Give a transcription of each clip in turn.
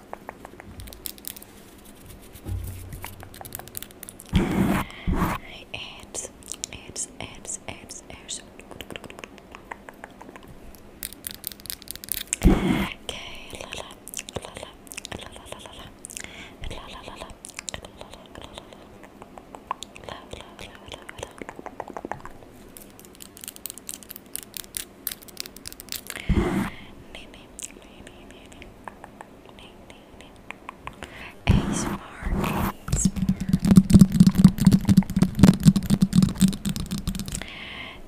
Abs, abs, abs, abs, abs. Okay, la la, la la, la la, la la, la la, la la. Nene, nene, nene, nene. A smart, A smart.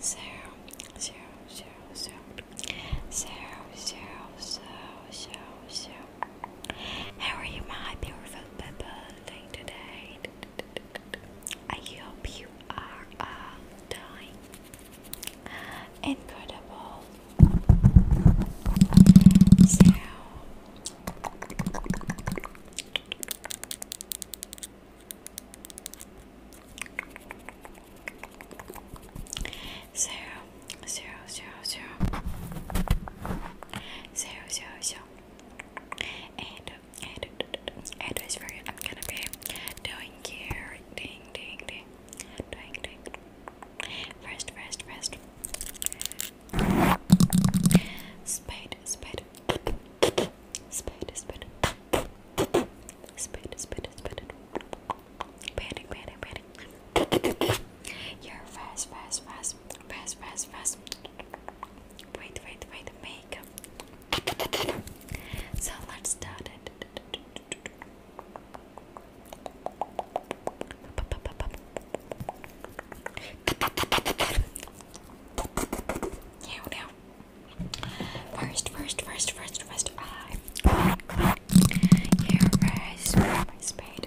Zero, zero, zero, zero. How are you, my beautiful people, today? I hope you are all Incredible. So Zero, zero, zero, zero. Zero, zero, zero. And, and, and, and this video I'm gonna be doing here, ding, ding, ding doing, doing. First, first, first. Spade, spade. Spade, spade. Spade, spade, spade. Painting, painting, painting. You're fast, fast, fast. Fast, fast, fast. Wait, wait, wait. Makeup. So let's start it. Now, now. First, first, first, first, first. I. Here, first. My spade.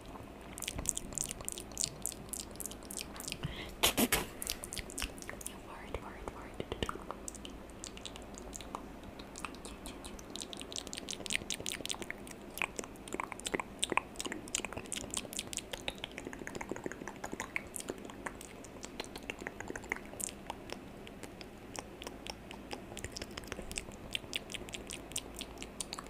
Word, word, word.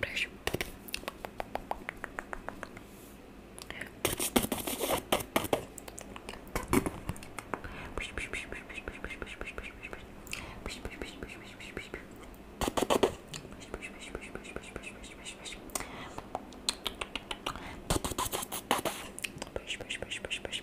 Pressure. Push, push, push, push, push.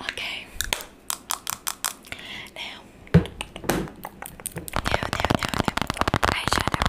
Okay. Now, now, now, now, now, eyeshadow.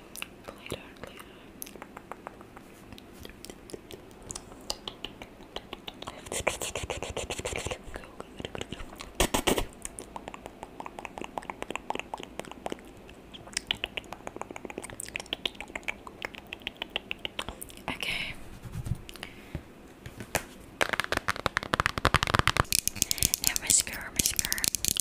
later, Okay. mascara, mascara.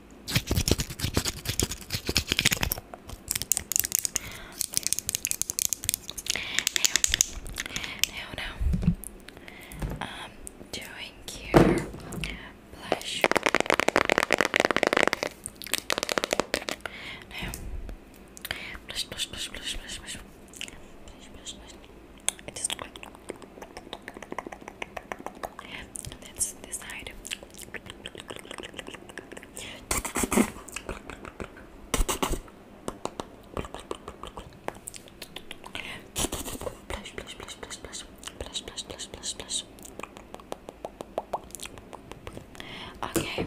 Now, now, I'm um, doing here blush. blush, blush, blush, blush, blush, blush, blush, blush, blush that's this side. Okay.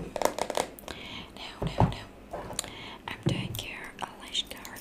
Now, now, now. I'm doing your eyelash guard.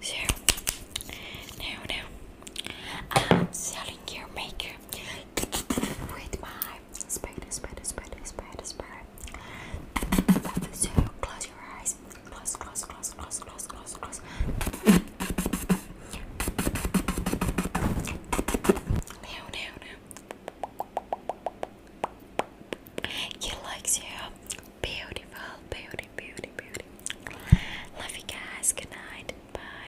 So now, now, I'm um, selling your makeup with my spider, spider, spider, spider, spider. So close your eyes. Close, close, close, close, close, close, close. Now, now, now. You like you. Beautiful, beauty, beauty, beauty. Love you guys. Good night. Bye.